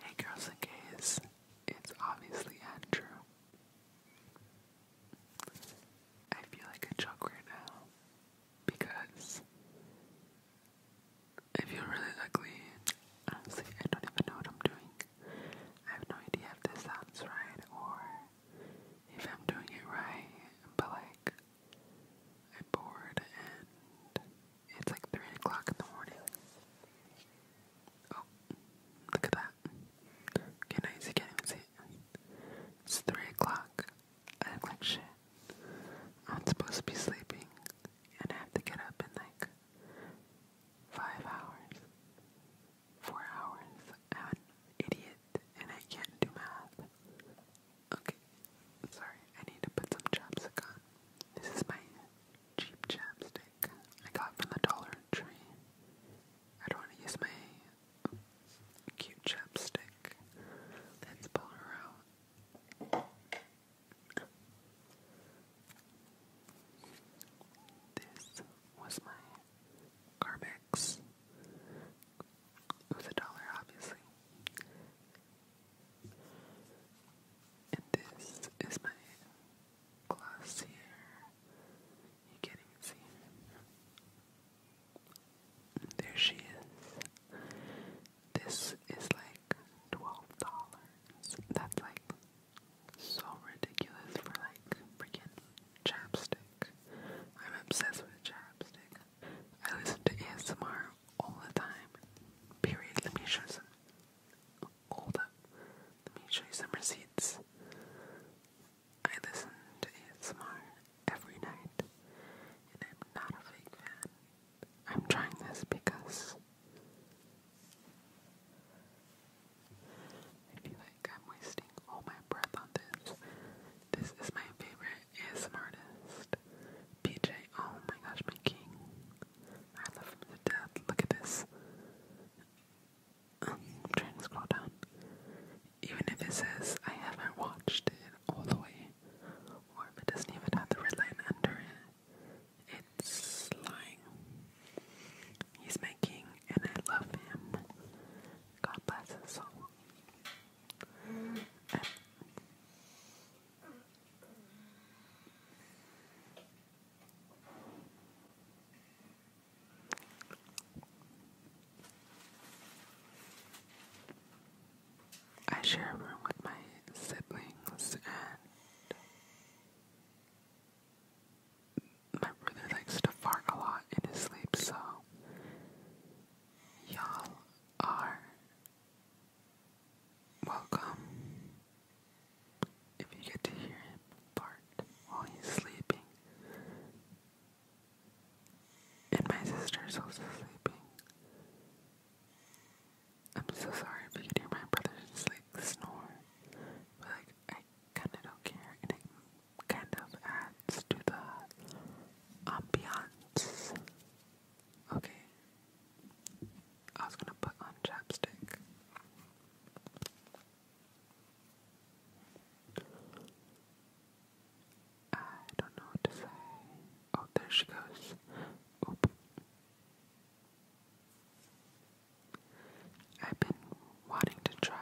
Hey girls and gays, it's obviously Andrew. I feel like a joke right now because I feel really ugly. Honestly, I don't even know what I'm doing. I have no idea if this sounds right or if I'm doing it right, but like, I'm bored and it's like 3 o'clock in the morning. Oh, look at that. Okay, now you can't see It's 3 o'clock. I look like shit. I'm supposed to be sleeping, and I have to get up in like 5 hours. 4 hours. idiot, and I can't do math. Okay, sorry, I need to put some chapstick on. This is my cheap chapstick I got from the Dollar Tree. I don't want to use my cute chapstick. Let's pull her out. This was my Carmex. It was a dollar, obviously. And this is my glass here. You can't even see her. There she is. This is like twelve dollars. That's like so ridiculous for like freaking chapstick. I'm obsessed with chapstick. I listen to ASMR all the time. Period. Let me show you some. Hold up. Let me show you some receipts. I listen to ASMR every night, and I'm not a fake fan. I'm trying this because I feel like I'm wasting all my breath on this. This is my favorite ASMR artist, PJ. Oh my gosh, my king. Rather from the dead. Look at this. Um, I'm trying to scroll down. Even if it says I haven't watched it all the way, or if it doesn't even have the red line under it, it's lying. He's making, and I love him. God bless his soul. I share a room with my siblings, and my brother likes to fart a lot in his sleep, so y'all are Welcome. If you get to hear him fart while he's sleeping, and my sister's also sleeping. I'm so sorry if you can hear my brother just like snore, but like I kinda don't care, and it kind of adds to the ambiance Okay. I was gonna put on chapstick. I don't know what to say. Oh, there she goes. Oop. I've been wanting to try.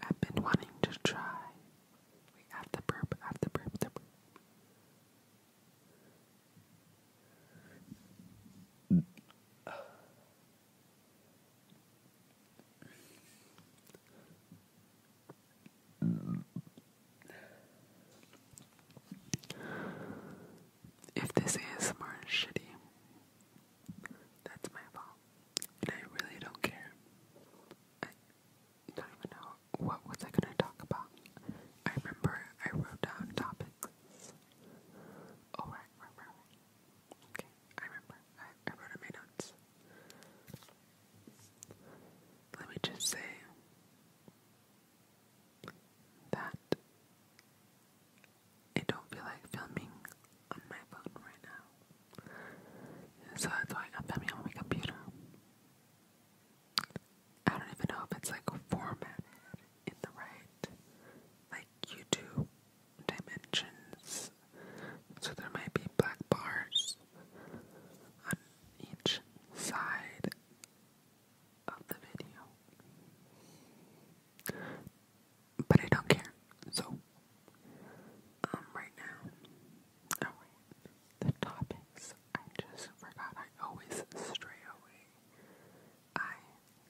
I've been wanting to try. We have the burp, have the burp, the burp. If this ASMR is shitty, that's my fault. And I really don't care. I don't even know what was I gonna talk about. I remember I wrote down topics. Oh right, right, Okay, I remember. I, wrote in my notes. Let me just say that I don't feel like filming on my phone right now. So that's why I'm filming on my computer. I don't even know if it's like formatted in the right like YouTube dimensions. So there might be black bars each side of the video. But I don't care. So, um, right now, oh, the topics, I just forgot. I always stray away. I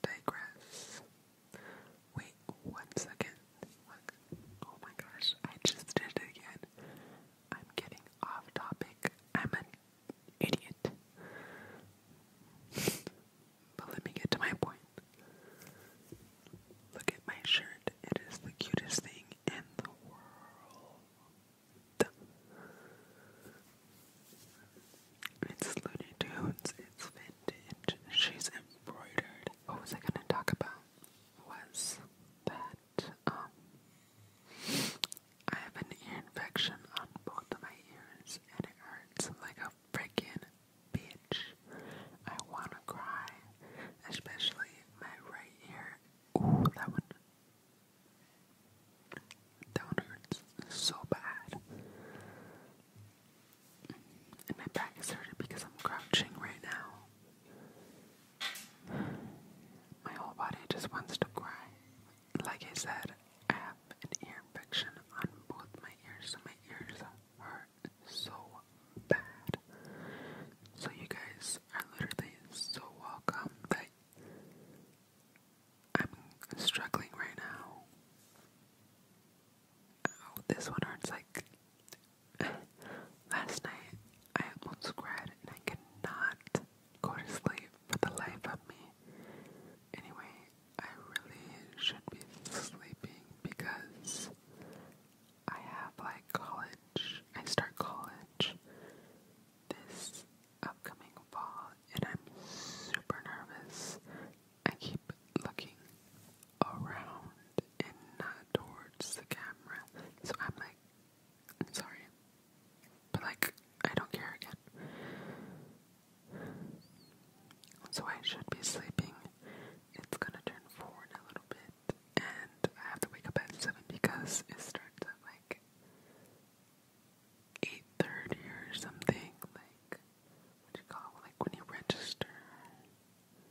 digress. Wait one second. Look. Oh my gosh, I just did it again. I'm getting off topic. I'm an idiot. but let me get to my point. Look at my shirt. It is the cutest thing in the world. It's Looney Tunes. It's vintage. She's embroidered. What was I gonna talk about? Was that um, I have an ear infection on both of my ears, and it hurts like a freaking bitch. I wanna cry, especially my right ear. Ooh, that one. That one hurts so bad. And my back is hurting because I'm crouching right now. My whole body just wants to cry. Like I said, I have an ear infection on both my ears, so my ears hurt so bad. So you guys are literally so welcome that I'm struggling right now. Oh, this one hurts like Last night I almost cried and I cannot go to sleep for the life of me. Anyway, I really should be sleeping because I have like college. I start college this upcoming fall and I'm super nervous. I keep looking around and not towards the camera. So I'm like I'm sorry. But, like, I don't care again. So I should be sleeping. It's gonna turn four in a little bit. And I have to wake up at seven because it starts at, like, 8.30 or something. Like, what you call Like, when you register.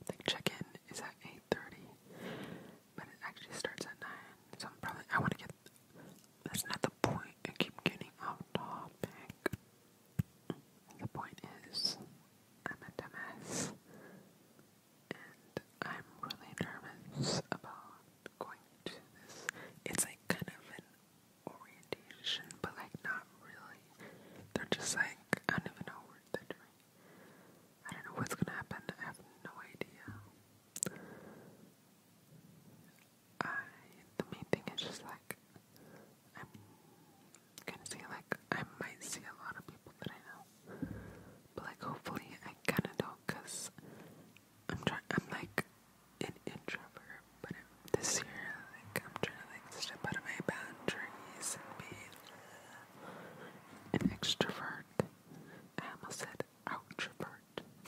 Like, check-in is at 8.30 but it actually starts at nine. So I'm probably I want to get. That's not the point. I keep getting off topic. The point is, I'm a dumbass, and I'm really nervous about going to this. It's like kind of an orientation, but like not really. They're just like I don't even know what they're doing. I don't know what's gonna happen. I have no idea. I the main thing is just like I'm gonna say like I might see a lot of people that I know, but like hopefully I kinda do I'm trying. I'm like an introvert, but this year like I'm trying to like step out of my boundaries and be an extrovert. I almost said outrovert.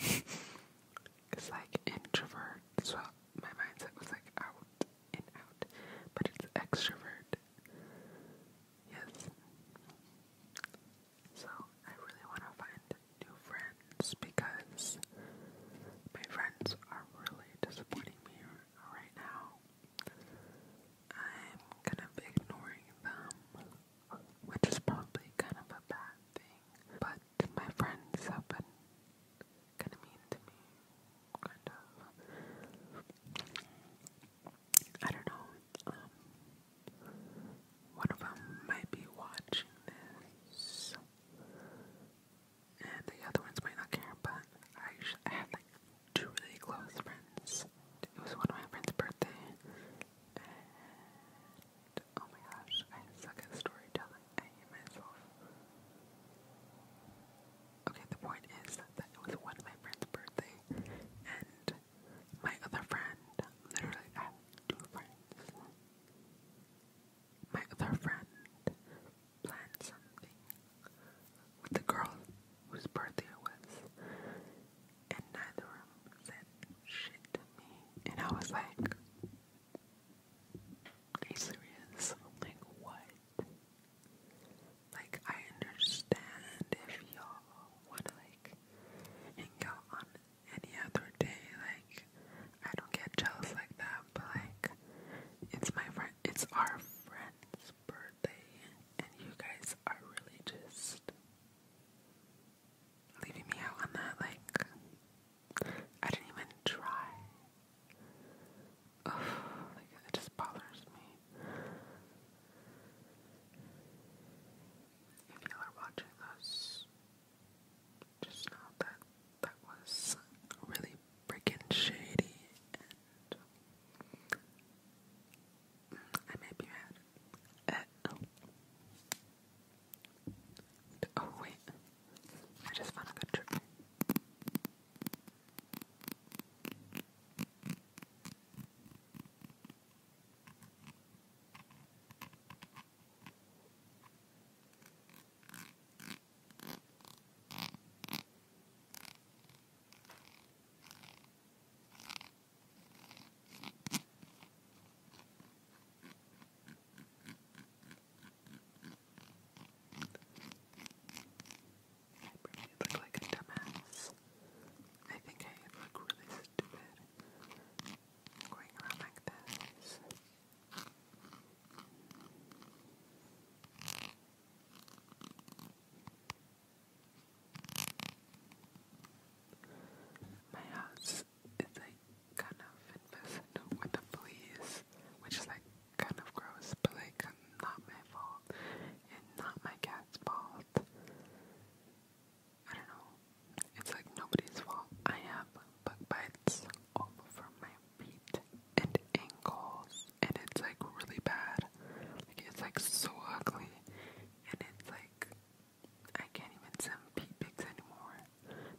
it's like introvert, so my mindset was like out and out, but it's extrovert. Yes. So I really want to find new friends because my friends are really disappointing me right now. I'm kind of ignoring them, which is probably kind of a bad thing. But my friends have been kind of mean to me, kind of. I don't know. Um, one of them might be watching this, and the other ones might not care. But I, I had like two really close friends. It was one of my friend's birthday, and oh my gosh, I suck at storytelling. I hate myself. Okay, the point is that, it was one of my friend's birthday, and my other friend, literally, I two friends. My other friend planned something with the girl whose birthday it was, and neither of them said shit to me. And I was like, Are you serious? Like, what? Like, I understand if y'all wanna, like, hang out on any other day. Like, I don't get jealous like that, but, like, it's my friend, it's our friend's birthday, and you guys are really just leaving me out on that. Like, I didn't even try. like, it just bothers me. If y'all are watching this, just know that that was really freaking shady I might be mad. Uh, oh. oh, wait. I just found a good trick. I probably look like a dumbass. I think I look really stupid going around like this. My house is like kind of infested with the which is like kind of gross, but like not my fault and not my cat's fault. I don't know. It's like nobody's fault. I have bug bites all over my feet and ankles and it's like really bad. Like it's like so ugly, and it's like I can't even send pee pics anymore.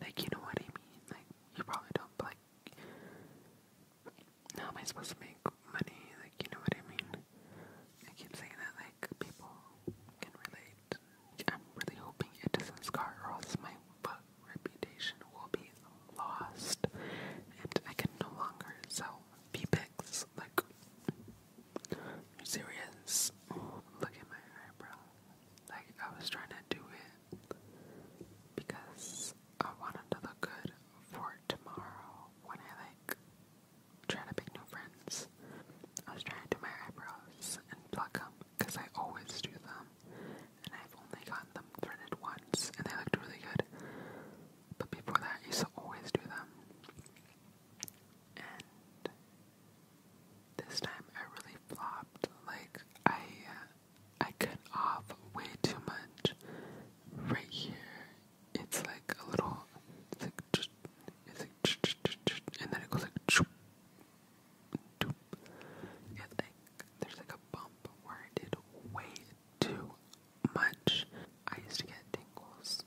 Like you know what I mean? Like you probably don't. like how am I supposed to make money? Like you know what I mean? I keep saying that like people can relate. I'm really hoping it doesn't scar, or else my book reputation will be lost, and I can no longer sell pee pics. Like, serious? Look at my eyebrow. Like, I was trying to do it because I wanted to look good for tomorrow when I like try to make new friends. I was trying to do my eyebrows and pluck them because I always do them, and I've only gotten them threaded once, and they looked really good. But before that, I used to always do them. And this time I really flopped. Like, I, uh, I cut off way too much right here. It's like a little, it's like, it's like, and then it goes like, doop. It's like, there's like a bump where I did way too much. I used to get tingles,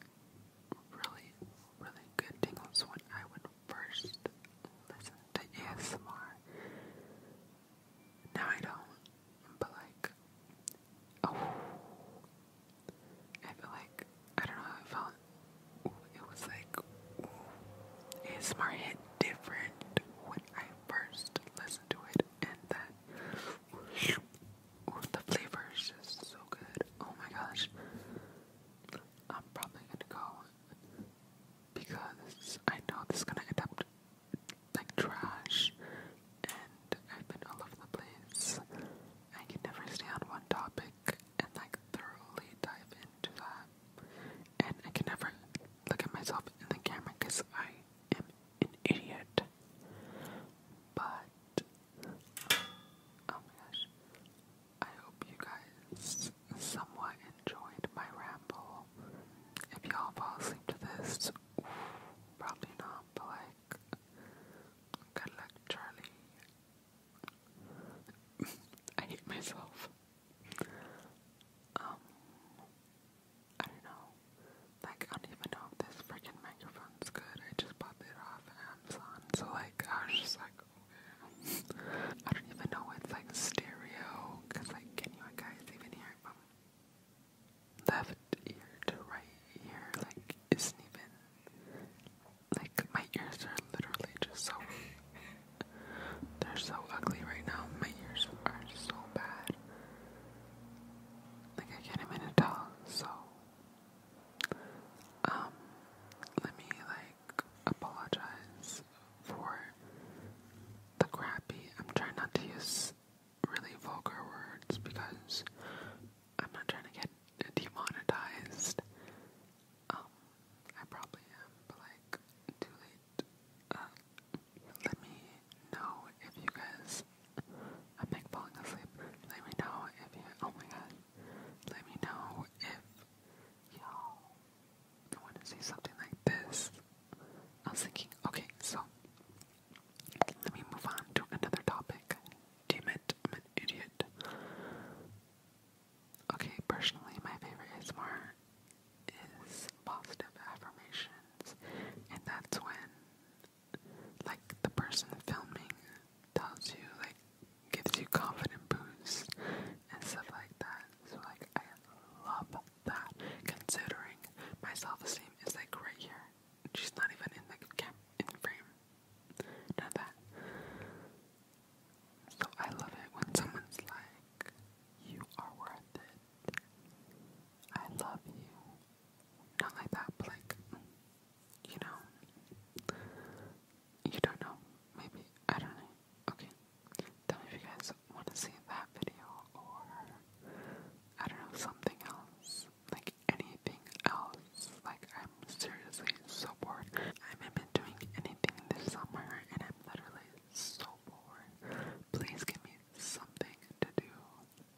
really, really good tingles when I would first listen to ASMR. Now I don't, but like, oh, I feel like, I don't know how I felt. Ooh, it was like, ooh, ASMR hit different when I first listened to it, and that the flavor is just so good. Oh my gosh. I'm probably gonna go because I know this is gonna end up like trash and I've been all over the place. I can never stay on one topic and like thoroughly dive into that. And I can never look at myself in the camera because I am an idiot. But oh my gosh. I hope you guys somewhat enjoyed my ramble. If y'all fall asleep to this, probably not, but like good luck, Charlie. I hate myself. Um I don't know. Like, I don't even know if this freaking microphone's good. I just bought it off Amazon. So, like, I was just like, okay. I don't even know it's like stereo. Because, like, can you guys even hear it from left ear to right ear? Like, isn't even. Like, my ears are literally just so. They're so ugly right now. My ears are so bad. Like I can't even tell, so um let me like apologize for the crappy I'm trying not to use really vulgar words because I'm not trying to get demonetized. Um I probably am, but like too late. Uh, let me know if you guys. I'm like falling asleep. Let me know if you. Oh my god. Let me know if y'all want to see something like this. I was thinking, okay, so let me move on to another topic. Damn it, I'm an idiot. Okay, personally, my favorite ASMR is positive affirmations, and that's when like the person filming tells you, like gives you confident boosts and stuff like that. So like I love that. Considering my self-esteem is like right here. She's not even in like camp in frame. Not that. So I love it when someone's like, "You are worth it. I love you. Not like that, but like, you know, you don't know. Maybe, I don't know. Okay. Tell me if you guys want to see that video or, I don't know, something else. Like anything else. Like, I'm seriously so bored. I haven't been doing anything this summer and I'm literally so bored. Please give me something to do.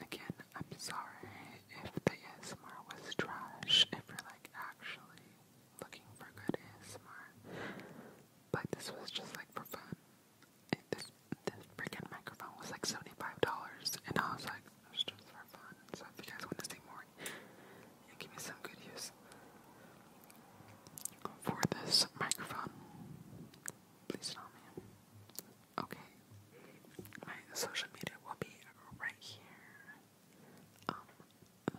Again, I'm sorry if the ASMR was trash, if you're like actually looking for good ASMR. But this was just like for fun. this this freaking microphone was like seventy-five dollars and I was like, it's just for fun. So if you guys want to see more give me some good use for this microphone, please tell me. Okay. My social media will be right here. Um,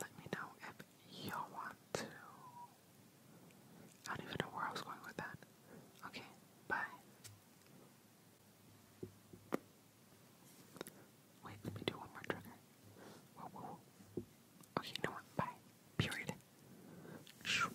let me know if y'all want to. I don't even know where I was going with that. Okay, bye. Wait, let me do one more trigger. Okay, you know Bye. Period. Shoo.